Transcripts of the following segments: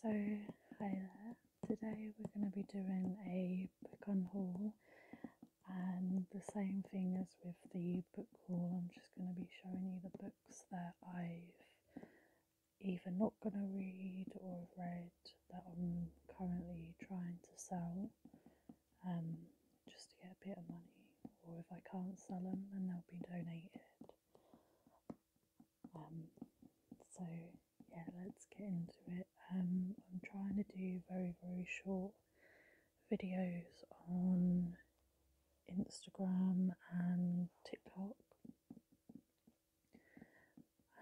So, hi there. Today we're going to be doing a book on haul and the same thing as with the book haul. I'm just going to be showing you the books that I've either not going to read or read that I'm currently trying to sell um, just to get a bit of money or if I can't sell them then they'll be donated. Um, so yeah, let's get into it. Um, I'm trying to do very, very short videos on Instagram and TikTok.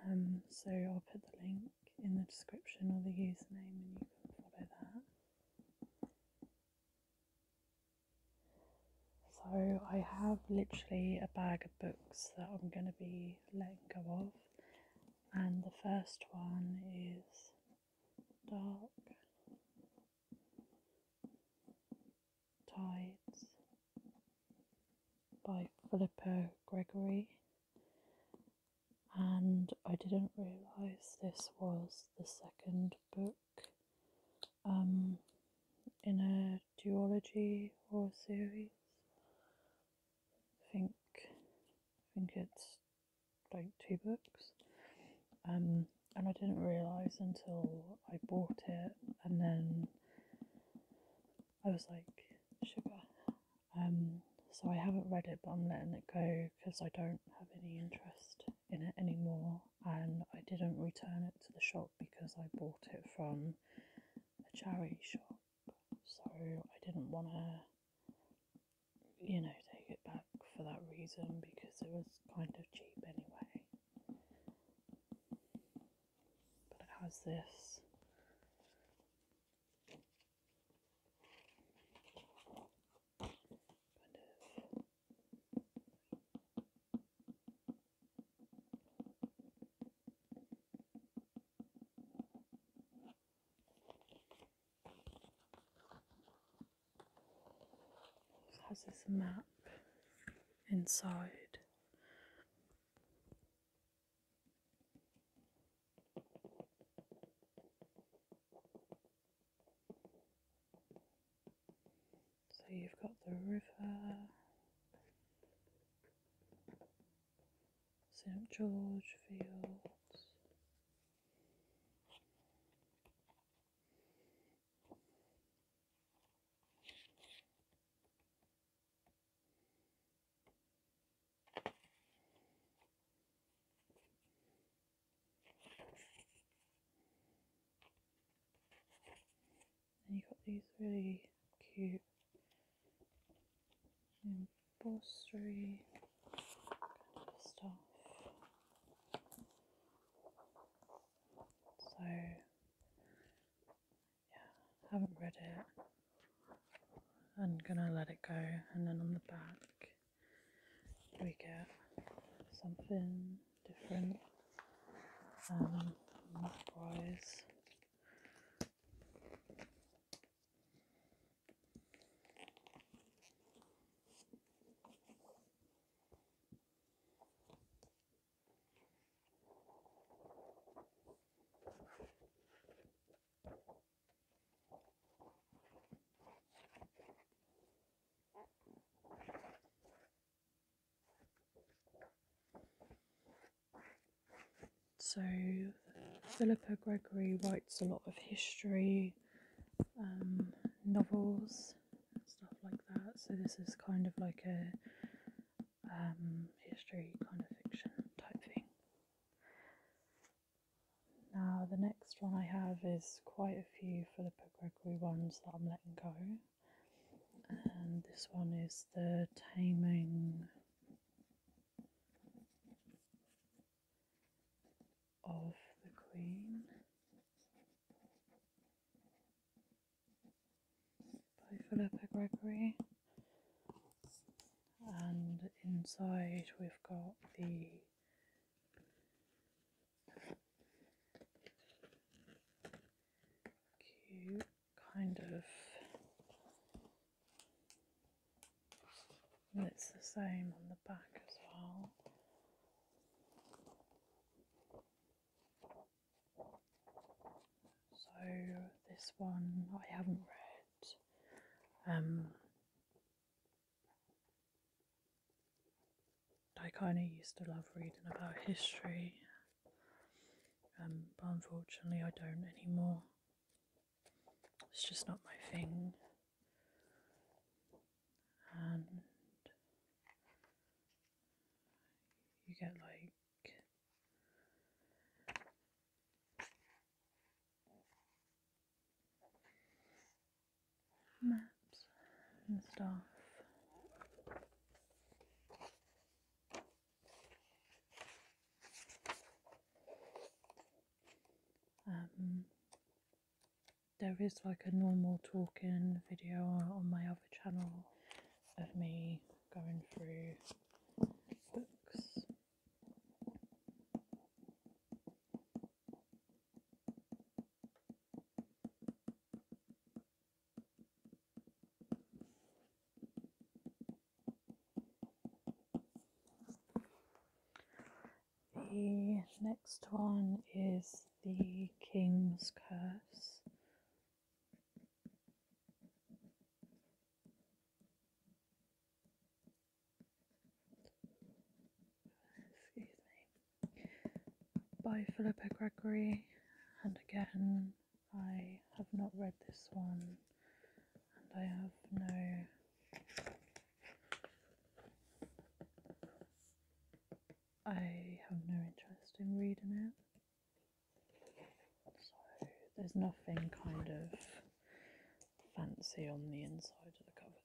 Um, so I'll put the link in the description or the username and you can follow that. So I have literally a bag of books that I'm going to be letting go of, and the first one is Dark Tides by Philippa Gregory. And I didn't realise this was the second book um, in a duology or series. I think I think it's like two books. Um, and I didn't realise until I bought it and then I was like, sugar. Um, so I haven't read it, but I'm letting it go because I don't have any interest in it anymore and I didn't return it to the shop because I bought it from a charity shop, so I didn't want to, you know, take it back for that reason because it was kind of cheap anyway. But it has this. Has this map inside? So you've got the river, St George Fields. And you've got these really cute upholstery kind stuff. So, yeah, haven't read it. I'm gonna let it go, and then on the back we get something different um, boys. So, Philippa Gregory writes a lot of history, um, novels, stuff like that. So, this is kind of like a um, history kind of fiction type thing. Now, the next one I have is quite a few Philippa Gregory ones that I'm letting go and this one is the taming of the Queen by Philippa Gregory. And inside we've got the cute kind of it's the same on the back as well so this one I haven't read um, I kind of used to love reading about history, um, but unfortunately, I don't anymore. It's just not my thing. And you get like maps and stuff. Um, there is like a normal talking video on my other channel of me going through books the next one is the King's Curse. Excuse me by Philippa Gregory, and again, I have not read this one, and I have no I have no interest in reading it. So there's nothing kind of fancy on the inside of the cover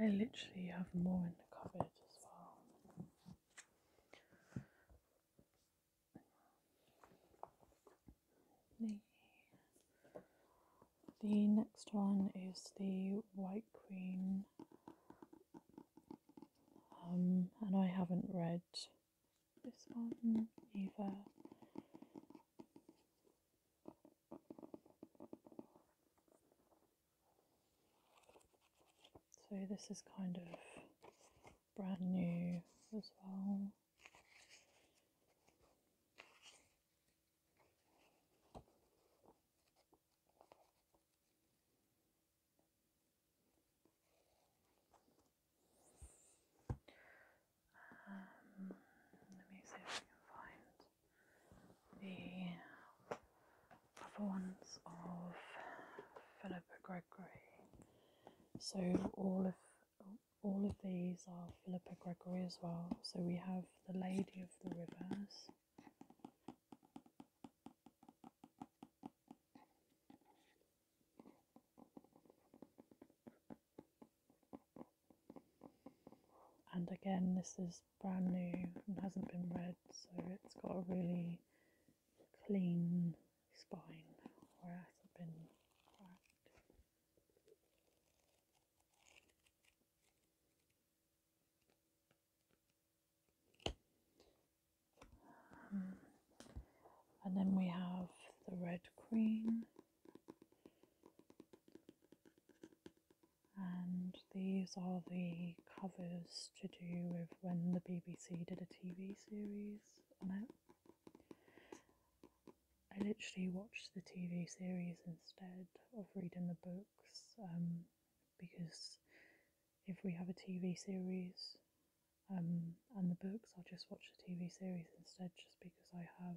I literally have more in the cupboard as well. The, the next one is the White Queen, um, and I haven't read this one either. So this is kind of brand new as well. Um, let me see if I can find the other ones of Philippa Gregory. So all of all of these are Philippa Gregory as well. So we have the Lady of the Rivers and again this is brand new and hasn't been read so it's got a really clean spine where hasn't been cracked. Um, and then we have the red queen and these are the covers to do with when the BBC did a TV series on it. I literally watched the TV series instead of reading the books um, because if we have a TV series um, and the books, I'll just watch the TV series instead just because I have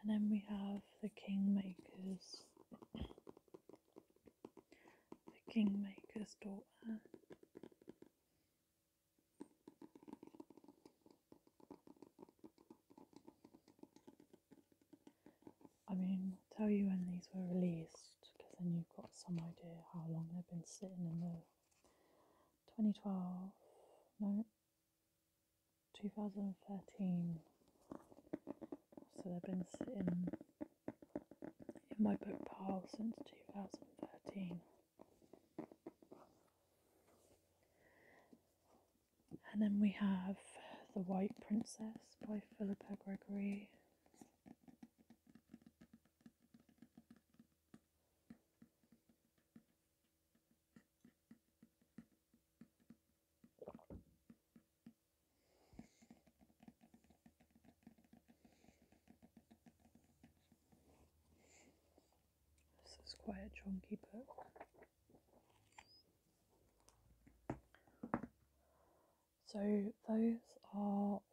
and then we have the Kingmakers, the Kingmaker's daughter. I mean, tell you when these were released because then you've got some idea how long they've been sitting in the 2012, no, 2013. So they've been sitting in my book pile since 2013. And then we have The White Princess by Philippa Gregory. This is quite a chunky book. So, those are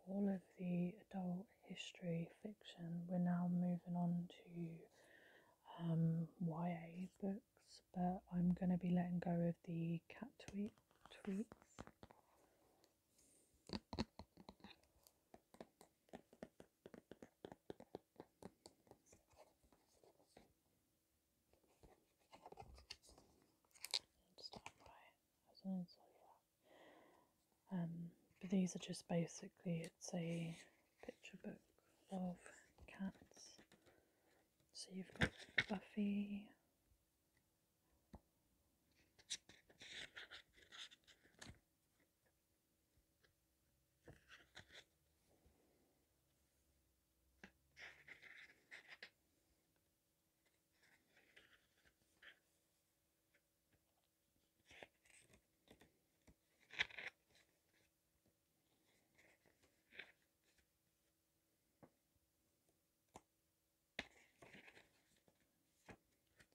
all of the adult history fiction. We're now moving on to um, YA books but I'm going to be letting go of the cat tweet tweets. Um, but these are just basically it's a picture book of cats so you've got Buffy.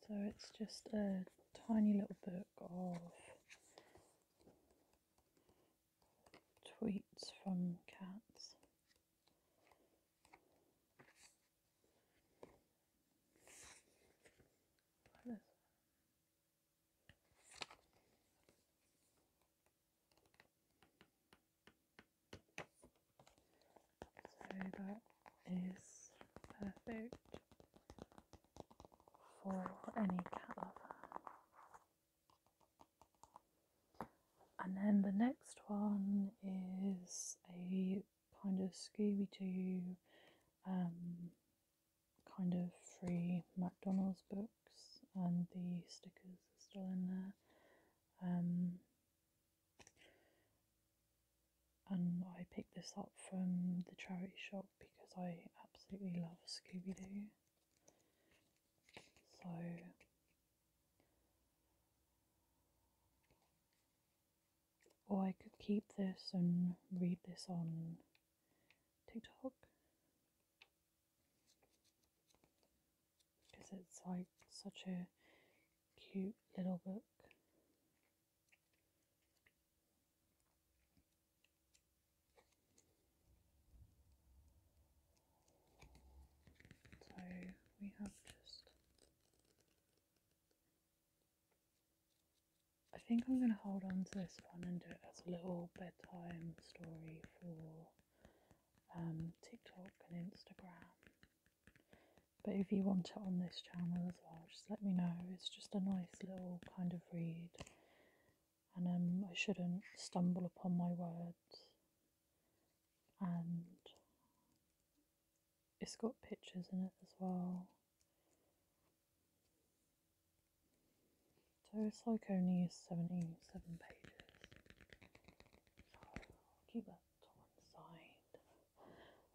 So it's just a tiny little book of tweets from cats. So that is perfect for any cat And then the next one is a kind of Scooby Doo um, kind of free McDonald's books, and the stickers are still in there. Um, and I picked this up from the charity shop because I absolutely love Scooby Doo. So or I could keep this and read this on TikTok because it's like such a cute little book. So we have just. I think I'm going to hold on to this one and do it as a little bit Time story for um, TikTok and Instagram. But if you want it on this channel as well, just let me know. It's just a nice little kind of read, and um, I shouldn't stumble upon my words. And it's got pictures in it as well. So it's like only 77 pages. So I'll keep that to one side.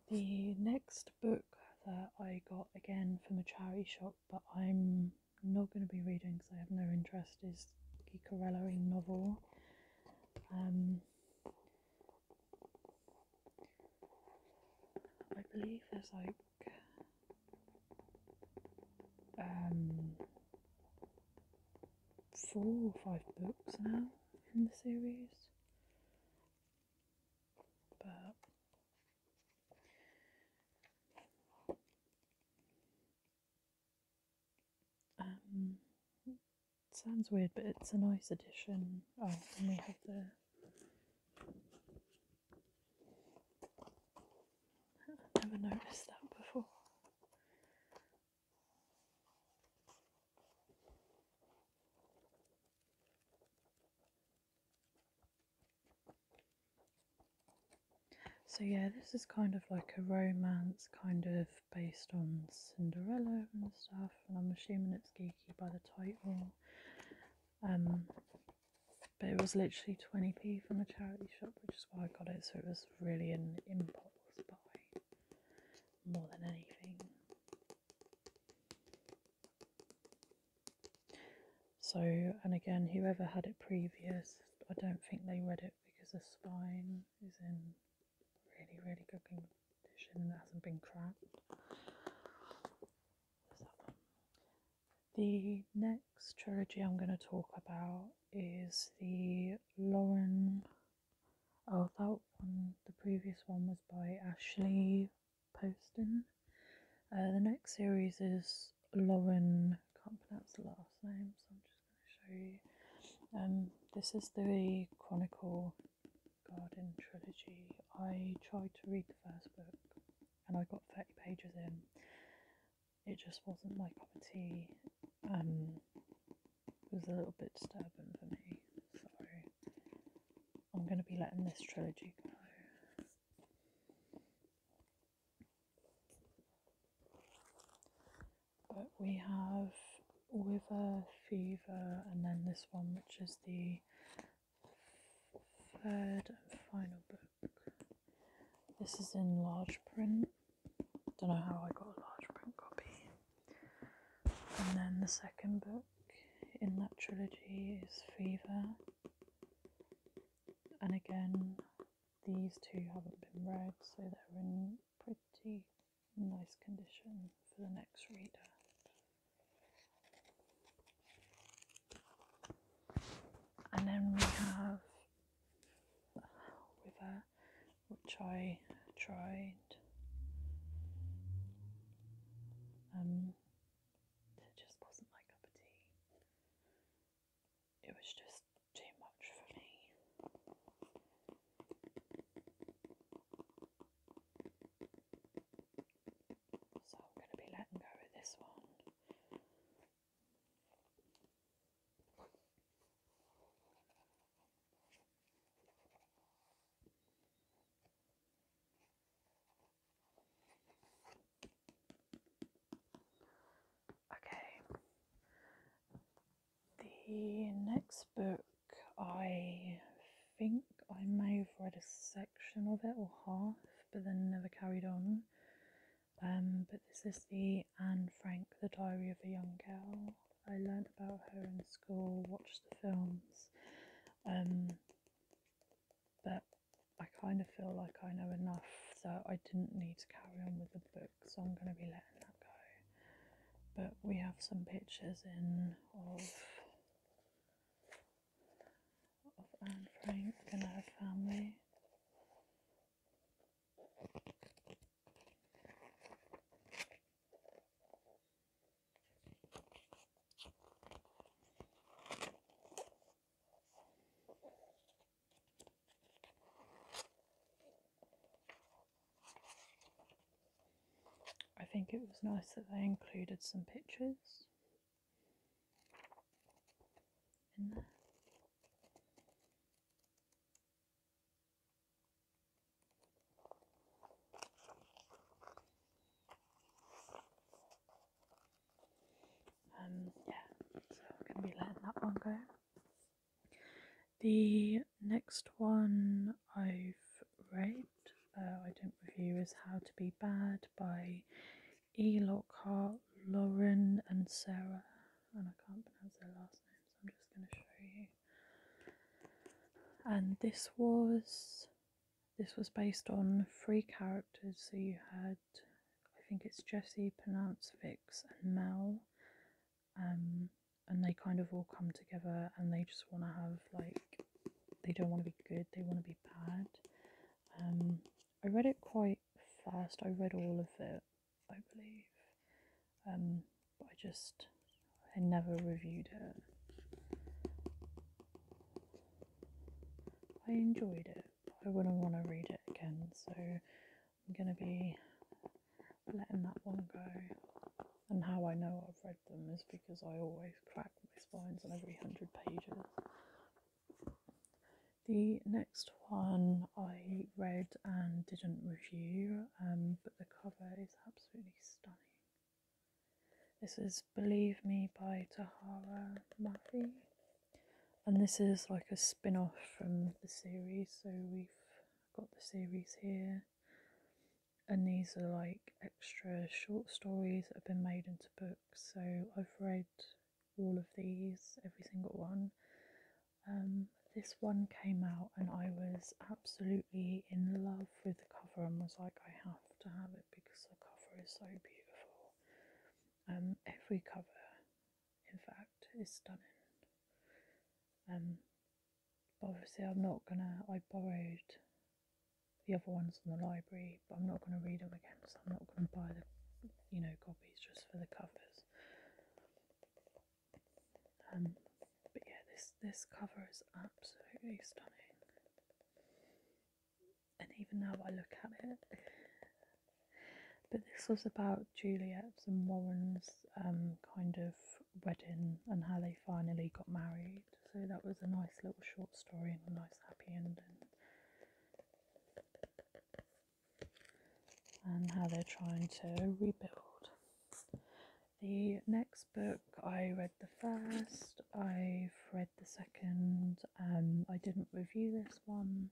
The next book that I got again from a charity shop, but I'm not going to be reading because I have no interest, is Gicarello in novel. Um, I believe there's like um, four or five books now in the series, but um, sounds weird, but it's a nice addition. Oh, and we have the i never noticed that before. So, yeah, this is kind of like a romance, kind of based on Cinderella and stuff, and I'm assuming it's geeky by the title. Um, but it was literally 20p from a charity shop, which is why I got it. So it was really an impulse buy more than anything. So, and again, whoever had it previous, I don't think they read it because the spine is in really, really good condition and hasn't been cracked. The next trilogy I'm going to talk about is the Lauren. Oh, that one, the previous one was by Ashley Poston. Uh, the next series is Lauren, can't pronounce the last name, so I'm just going to show you. Um, this is the Chronicle Garden trilogy. I tried to read the first book and I got 30 pages in. It just wasn't my cup Um, it was a little bit disturbing for me, so I'm going to be letting this trilogy go. But we have Wither, Fever, and then this one, which is the third and final book. This is in large print. Don't know how I got a large print copy. And then the second book in that trilogy is Fever. And again, these two haven't been read, so they're in pretty nice condition for the next reader and then we have river which I tried um it just wasn't my cup of tea it was just too much for me so I'm going to be letting go of this one. Okay, the next book I think I may have read a section of it or half but then never carried on. Um, but this is the Anne Frank, The Diary of a Young Girl. I learned about her in school, watched the films, um, but I kind of feel like I know enough so I didn't need to carry on with the book, so I'm going to be letting that go. But we have some pictures in of of Anne Frank and her family. I think it was nice that they included some pictures um, yeah, so I'm going to be letting that one go. The next one I've read uh, I don't review is How to Be Bad by E. Lockhart, Lauren, and Sarah. And I can't pronounce their last names, I'm just going to show you. And this was this was based on three characters. So you had, I think it's Jesse, Pronounced Vix, and Mel. Um, and they kind of all come together and they just want to have like they don't want to be good, they want to be bad. Um, I read it quite fast, I read all of it, I believe. Um, I just, I never reviewed it. I enjoyed it. I wouldn't want to read it again, so I'm going to be letting that one go. And how I know I've read them is because I always crack backbone on every 100 pages. The next one I read and didn't review, um, but the cover is absolutely stunning. This is Believe Me by Tahara Mafi, and this is like a spin off from the series, so we've got the series here. And these are like extra short stories that have been made into books so I've read all of these, every single one. Um, this one came out and I was absolutely in love with the cover and was like, I have to have it because the cover is so beautiful. Um, every cover, in fact, is stunning. Um, obviously, I'm not gonna. I borrowed the other ones in the library, but I'm not going to read them again, so I'm not going to buy the you know copies just for the covers. Um, but yeah, this this cover is absolutely stunning, and even now I look at it. But this was about Juliet's and Warren's um, kind of wedding and how they finally got married. So that was a nice little short story and a nice happy ending. And how they're trying to rebuild. The next book I read the first, I've read the second, um, I didn't review this one.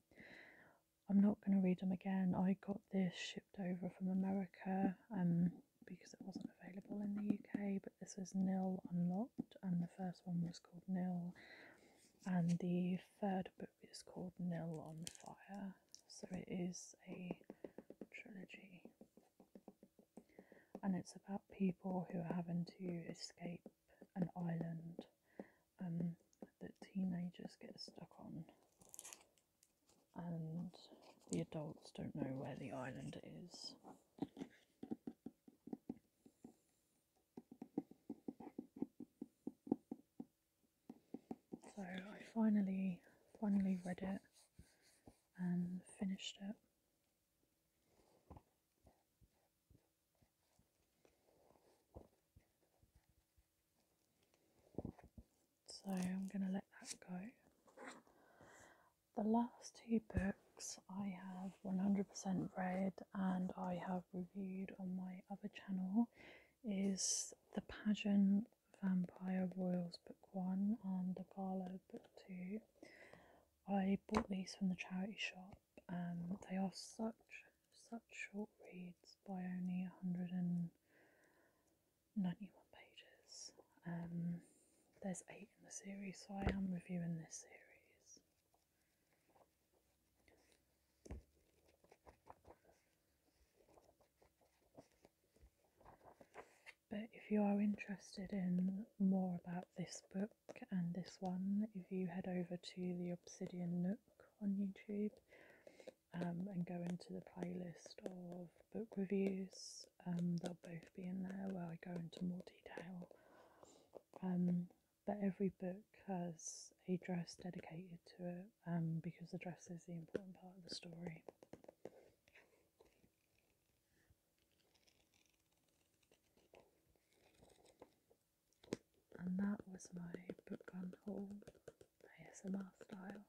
I'm not going to read them again. I got this shipped over from America um, because it wasn't available in the UK, but this is nil unlocked and the first one was called Nil, and the third book is called Nil on Fire. So it is a trilogy, and it's about people who are having to escape an island um, that teenagers get stuck on, and the adults don't know where the island is. So I finally, finally read it and finished it. So I'm going to let that go the last two books I have 100% read and I have reviewed on my other channel is The Pageant Vampire Royals Book 1 and The Carlo Book 2. I bought these from the charity shop and they are such, such short reads by only 191 pages. Um, there's eight in the series, so I am reviewing this series. But if you are interested in more about this book and this one, if you head over to the Obsidian Nook on YouTube um, and go into the playlist of book reviews, um, they'll both be in there where I go into more detail. Um, but every book has a dress dedicated to it um, because the dress is the important part of the story. And that was my book on ASMR style.